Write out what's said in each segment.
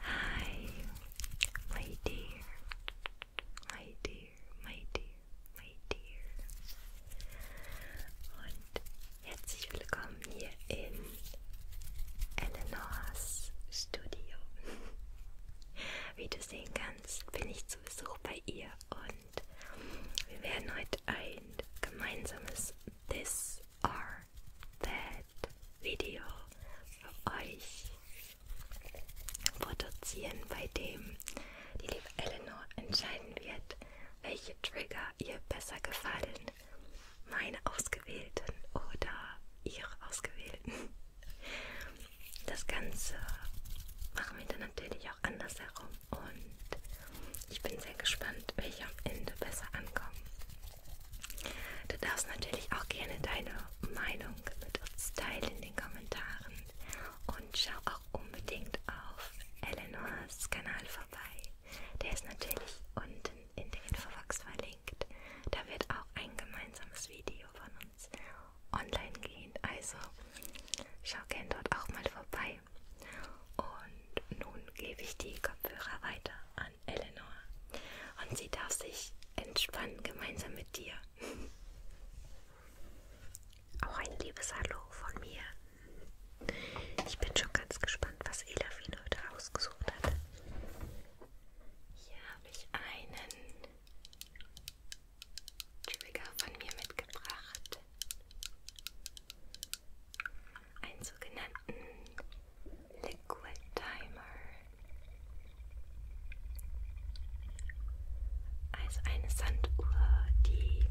Hi, my dear, my dear, my dear, my dear. Und herzlich willkommen hier in Eleanors Studio. Wie du sehen kannst, bin ich zu Besuch bei ihr und wir werden heute ein gemeinsames This or That Video für euch produzieren, bei dem die liebe Eleanor entscheiden wird, welche Trigger ihr besser gefallen. Meine ausgewählten oder ihre ausgewählten. Das Ganze machen wir dann natürlich natürlich auch andersherum. Und ich bin sehr gespannt, welche am Ende besser ankommen. Du darfst natürlich auch gerne deine Meinung mit uns teilen in den Kommentaren. Und schau auch unbedingt auf Eleanors Kanal vorbei. Der ist natürlich unten in der Infobox verlinkt. Da wird auch ein gemeinsames Video von uns online gehen. Also schau gerne dort auch mal vorbei vorbei. Und nun gebe ich die Kopfhörer weiter an Eleanor. Und sie darf sich entspannen gemeinsam mit dir. Auch ein liebes Hallo von mir. Ich bin schon ganz gespannt, was Elafin heute ausgesucht hat. Hier habe ich einen Trigger von mir mitgebracht einen sogenannten Liquid Timer, also eine Sanduhr, die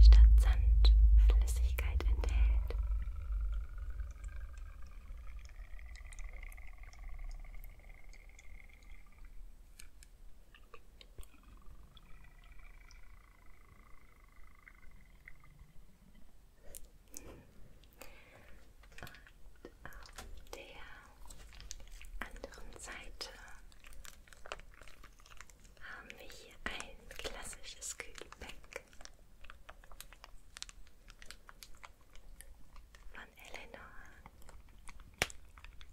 statt Sand Flüssigkeit enthält. Und auf der anderen Seite haben wir hier ein klassisches Kühlbeck von Eleanor.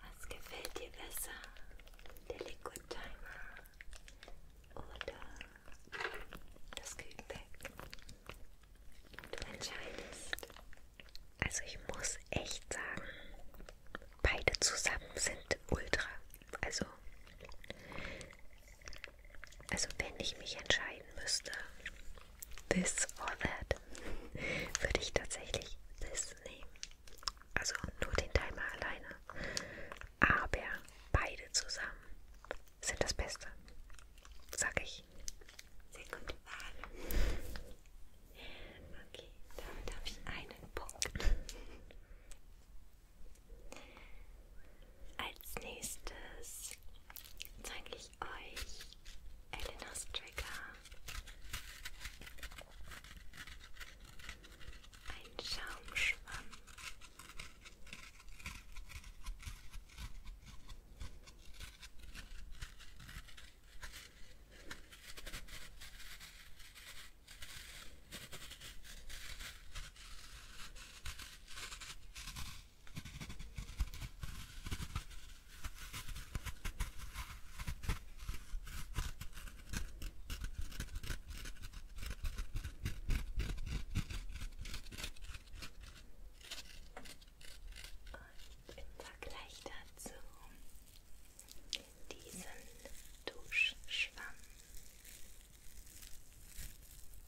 Was gefällt dir besser? Der Liquid Timer oder das Kühlpack? Du entscheidest. Also ich muss echt sagen, beide zusammen sind ultra. Also, also wenn ich mich entscheiden müsste, this or that, würde ich tatsächlich this nehmen. Also nur den Timer alleine. Aber beide zusammen sind das Beste. Sag ich. Sehr gute Wahl. Ähm, okay, damit habe ich einen Punkt. Als nächstes zeige ich euch Elenas Trigger. Ein Schaumschwamm. Und im Vergleich dazu diesen Duschschwamm.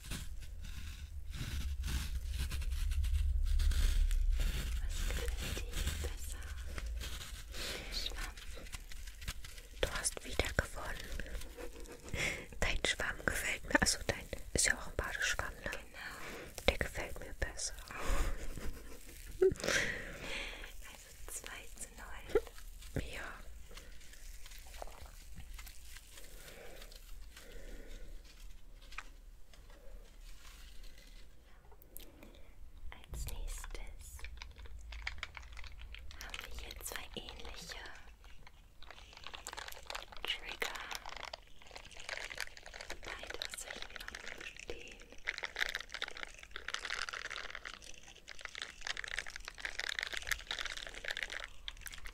Was gefällt dir besser? Schwamm. Du hast wieder gewonnen. Dein Schwamm gefällt mir. Also dein ist ja auch ein Badeschwamm, ne? Genau. Der gefällt mir besser. Also 2 zu 9. Ja. Als nächstes haben wir hier zwei ähnliche Trigger. Beide sind stehen.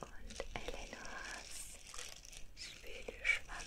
Und Eleonors Spülschwamm.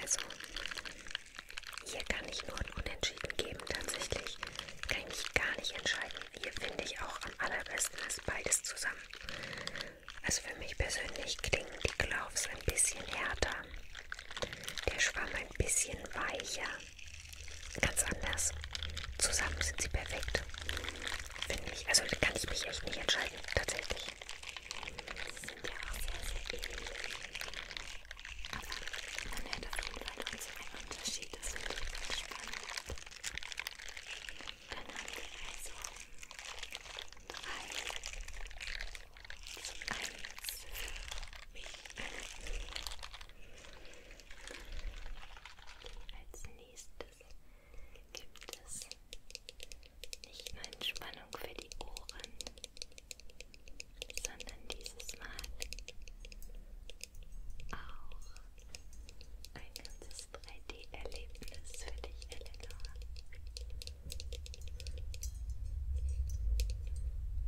Also, hier kann ich nur ein Unentschieden geben. Tatsächlich kann ich mich gar nicht entscheiden. Hier finde ich auch am allerbesten ist beides zusammen. Also für mich persönlich klingen die Gloves ein bisschen härter. Der Schwamm ein bisschen weicher. Ganz anders. Zusammen sind sie perfekt. Finde ich. Also kann ich mich echt nicht entscheiden. Tatsächlich. Sie sind ja auch sehr, sehr ähnlich. Aber man hört auf jeden Fall noch so einen Unterschied. Das finde ich ganz spannend. Dann haben wir also drei zu eins für mich. Als nächstes gibt es nicht nur Entspannung für die Ohren, sondern dieses Mal auch ein ganzes 3D-Erlebnis für dich, Eleanor.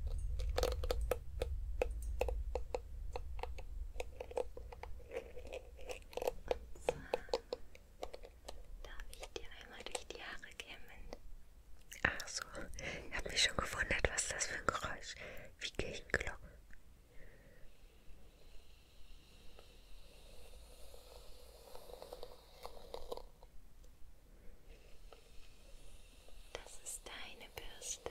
Und zwar Darf ich dir einmal durch die Haare kämmen? Ach so, ich habe mich schon gewundert, was das für ein Geräusch wie Kirchenglocken. Das ist deine Bürste.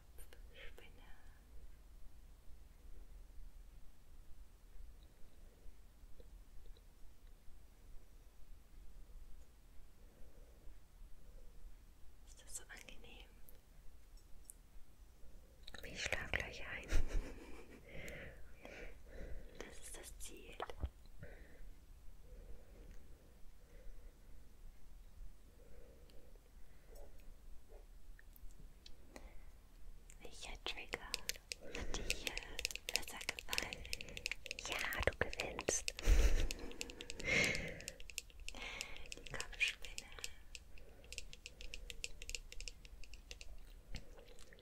Apfelspinne. Ist das so angenehm? Ich schlafe gleich ein. Das ist das Ziel. Welcher Trigger hat dir besser gefallen? Ja, du gewinnst. Die Kopfspinne.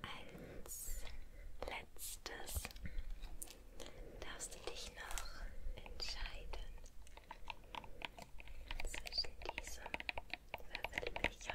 Als letztes darfst du dich noch entscheiden zwischen diesem Würfelbecher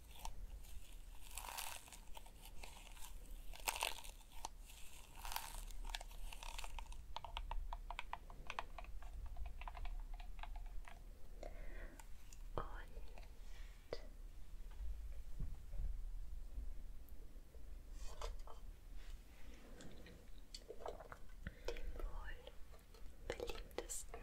Und dem wohl beliebtesten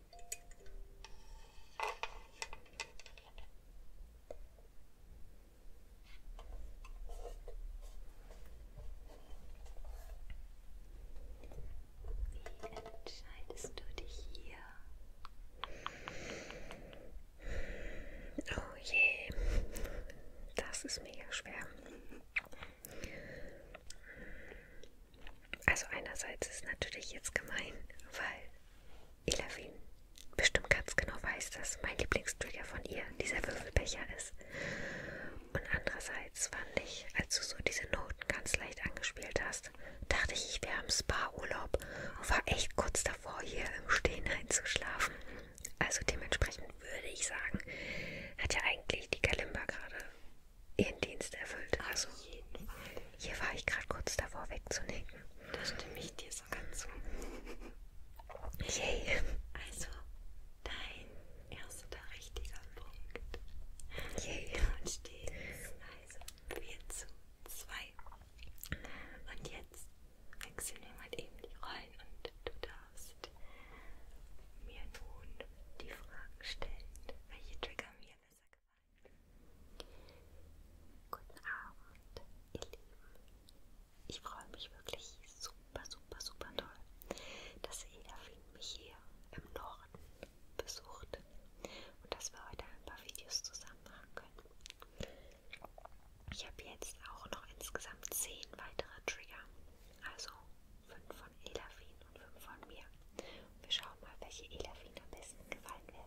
Wie entscheidest du dich hier? Oh je, das ist mega schwer. Also einerseits ist natürlich jetzt gemein, weil Elavin bestimmt ganz genau weiß, dass mein Lieblingstrigger von ihr dieser Würfelbecher ist. Und andererseits fand ich, als du so diese Noten ganz leicht angespielt hast, dachte ich, ich wäre im Spa-Urlaub und war echt kurz davor, hier im Stehen einzuschlafen. Also dementsprechend würde ich sagen, hat ja eigentlich die Kalimba gerade ihren Dienst erfüllt. Also, jeden Fall. Hier war ich gerade kurz davor wegzunecken. Da stimme ich dir sogar zu. Yay. Yeah. Also, dein erster richtiger Punkt. Yay. Yeah. Und steht also 4 zu 2. Und jetzt wechseln wir mal eben die Rollen und du darfst mir nun die Fragen stellen, welche Trigger mir besser gefallen. Guten Abend, ihr Lieben. Ich freue mich wirklich super, super, super toll, dass Edafin mich hier im Norden besucht und dass wir heute ein paar Videos zusammen machen können. Ich habe jetzt auch noch insgesamt 10 weitere Trigger, also 5 von Edafin und 5 von mir. Wir schauen mal, welche Elaf Ihnen am besten gefallen werden.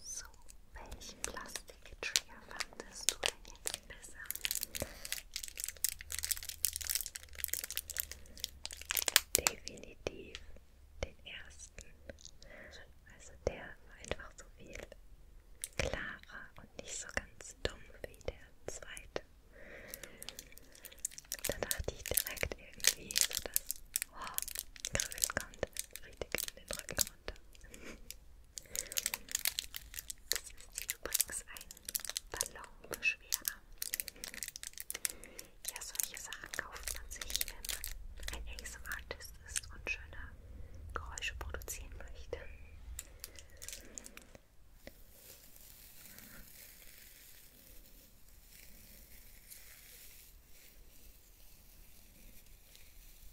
So, welchen Plastik-Trigger fandest du denn jetzt besser. Definitiv den ersten. Also der war einfach so viel klarer und nicht so ganz dumm wie der zweite. Da dachte ich direkt irgendwie, so dass oh, Kribbeln kommt richtig in den Rücken runter. Das ist hier übrigens ein Ballonbeschwerer. Ja, solche Sachen kauft man sich, wenn man ein ASMR-Artist ist und schöne Geräusche produzieren möchte.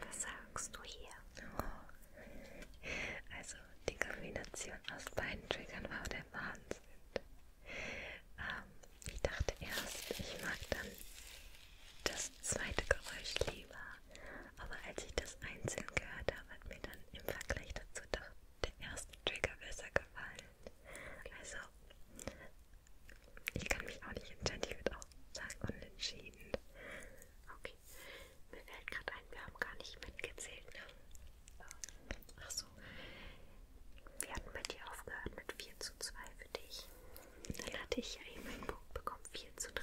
Was sagst du hier? Oh. Also die Kombination aus beiden Triggern war der Wahnsinn. Ähm, ich dachte erst, ich mag dann das zweite Geräusch lieber. Aber als ich das einzeln gehört habe, hat mir dann im Vergleich dazu doch der erste Trigger besser gefallen. Also, ich kann mich auch nicht entscheiden. Ich würde auch sagen, unentschieden. Okay. Mir fällt gerade ein, wir haben gar nicht mitgezählt, ne? Ach so. Wir hatten bei dir aufgehört mit 4 zu 2 für dich. Dann hatte ich ja eben einen Punkt bekommen, 4 zu 3.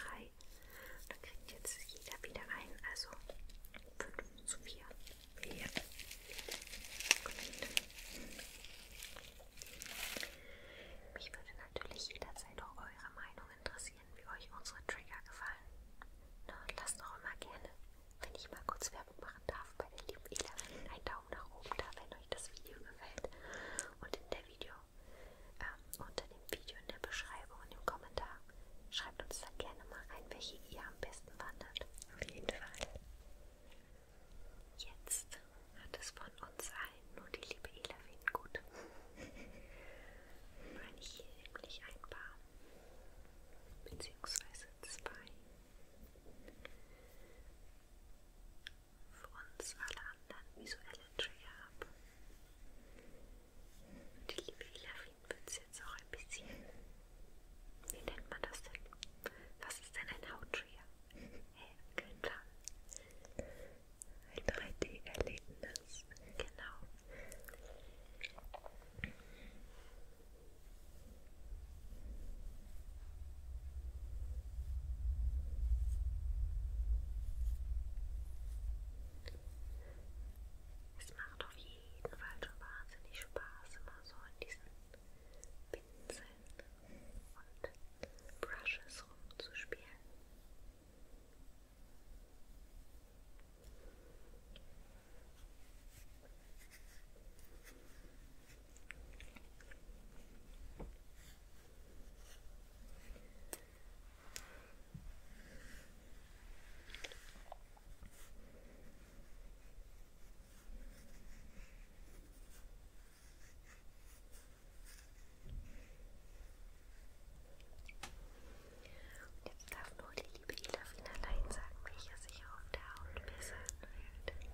Dann kriegt jetzt jeder wieder einen, also 5 zu 4. Ja. Gut. Mich würde natürlich jederzeit auch eure Meinung interessieren, wie euch unsere Trigger gefallen. Na, lasst auch immer gerne, wenn ich mal kurz Werbung machen darf, bei den lieben Elefanten einen Daumen nach oben da, wenn euch das Video gefällt. Und in der Video, äh, unter dem Video in der Beschreibung, in dem Kommentar, schreibt uns dann gerne mal rein, welche ihr am besten besten wandert. Auf jeden Fall. Jetzt hat es von uns allen nur die liebe Elafin gut. Weil ich hier nämlich ein paar, beziehungsweise zwei, für uns alle anderen visuelle Trigger habe. Die liebe Elafin Augenbrauen wird es jetzt auch ein bisschen. Wie nennt man das denn? Was ist denn ein Hauttrigger? Hey, genau. Ein 3D-Erlebnis. Genau. Es macht auf jeden Fall so wahnsinnig Spaß, immer so in diesen Pinseln und Brushes rumzuspielen. Jetzt Jetzt darf nur die liebe Elafin allein sagen, welcher sich auf der Haut besser anfühlt.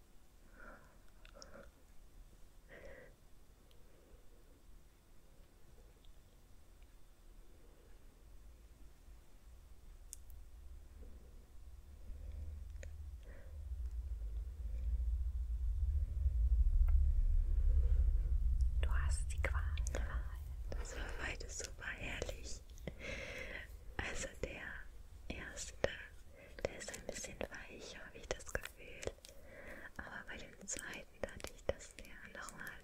Du hast die Qual. Das war beides super herrlich. Also der erste der ist ein bisschen weich, habe ich das Gefühl. Aber bei dem zweiten dachte ich, dass der nochmal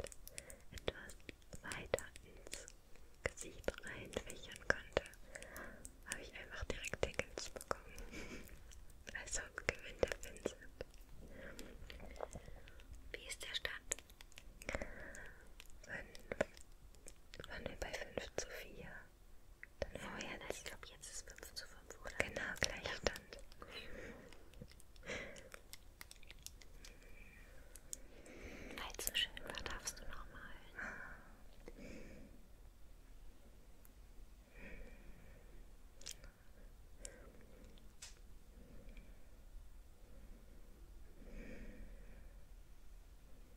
etwas weiter ins Gesicht reinfächern konnte. Habe ich einfach direkt Tickets bekommen. also gewinnt der Pinsel. Wie ist der Stand? 5. Waren wir bei 5 zu 4? Dann oh vorher, das, ich glaube, jetzt ist 5 zu 5, oder? Genau, Gleichstand. Weil es so schön war, darfst du nochmal. Hm.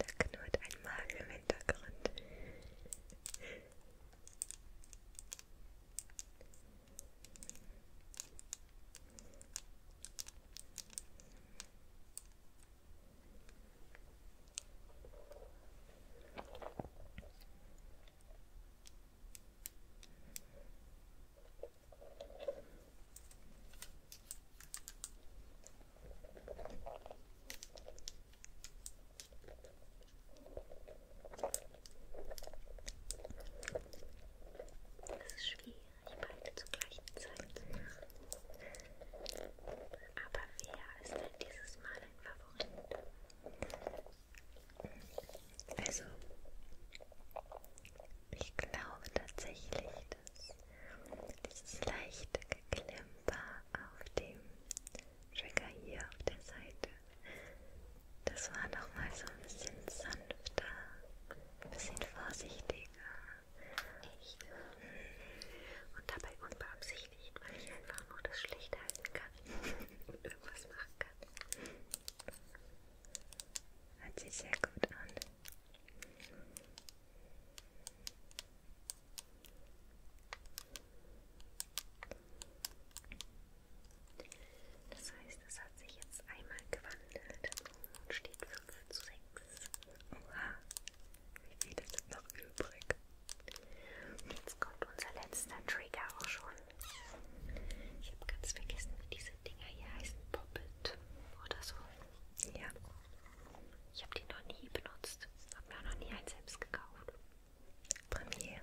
Da knurrt ein Magen im Hintergrund. Es ist schwierig, beide zur gleichen Zeit zu machen. Aber wer ist denn dieses Mal ein Favorit? Also, ich glaube tatsächlich, dass dieses leichte Geklimper auf dem Trigger hier auf der Seite, das war nochmal so ein bisschen sanfter, ein bisschen vorsichtiger. Hm. Und dabei unbeabsichtigt, weil ich einfach nur das schlecht halten kann und irgendwas machen kann. Hört sich sehr gut an. Das heißt, es hat sich jetzt einmal gewandelt und steht 5 zu 6. Oha, wie viel ist noch übrig? Jetzt kommt unser letzter Trigger auch schon. Ich habe ganz vergessen, wie diese Dinger hier heißen Poppet oder so. Ja. Ich habe die noch nie benutzt. Habe mir auch noch nie einen selbst gekauft. Premiere.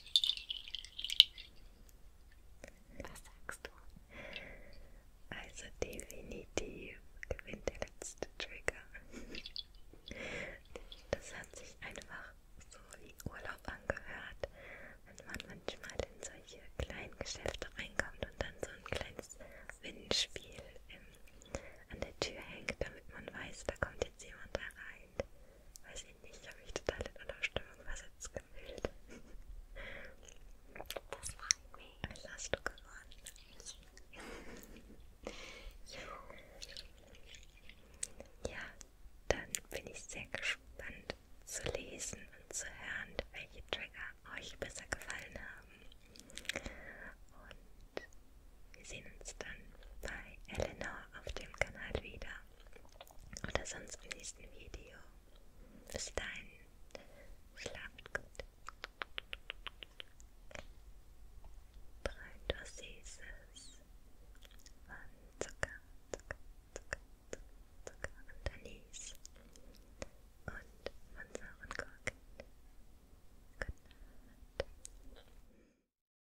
Was sagst du? Also definitiv gewinnt der letzte Trigger. Das hat sich einfach so wie Urlaub angehört, wenn man manchmal in solche kleinen Geschäfte reinkommt und dann so ein kleines Windspiel im, an der Tür hängt, damit man weiß, da kommt jetzt jemand da rein. Weiß weiß ich nicht, ich habe mich total in einer Stimmung versetzt gefühlt. Das freut mich. Was hast du gewonnen? ja, dann bin ich sehr gespannt zu lesen und zu hören, welche Trigger euch besser gefallen haben. Und wir sehen uns dann bei Eleanor auf dem Kanal wieder. Oder sonst im nächsten Video. Bis dahin. Schlaft gut. Träumt was Süßes. Von Zucker, Zucker, Zucker, Zucker, Zucker und Anis. Und von sauren Gurken. Gute Nacht.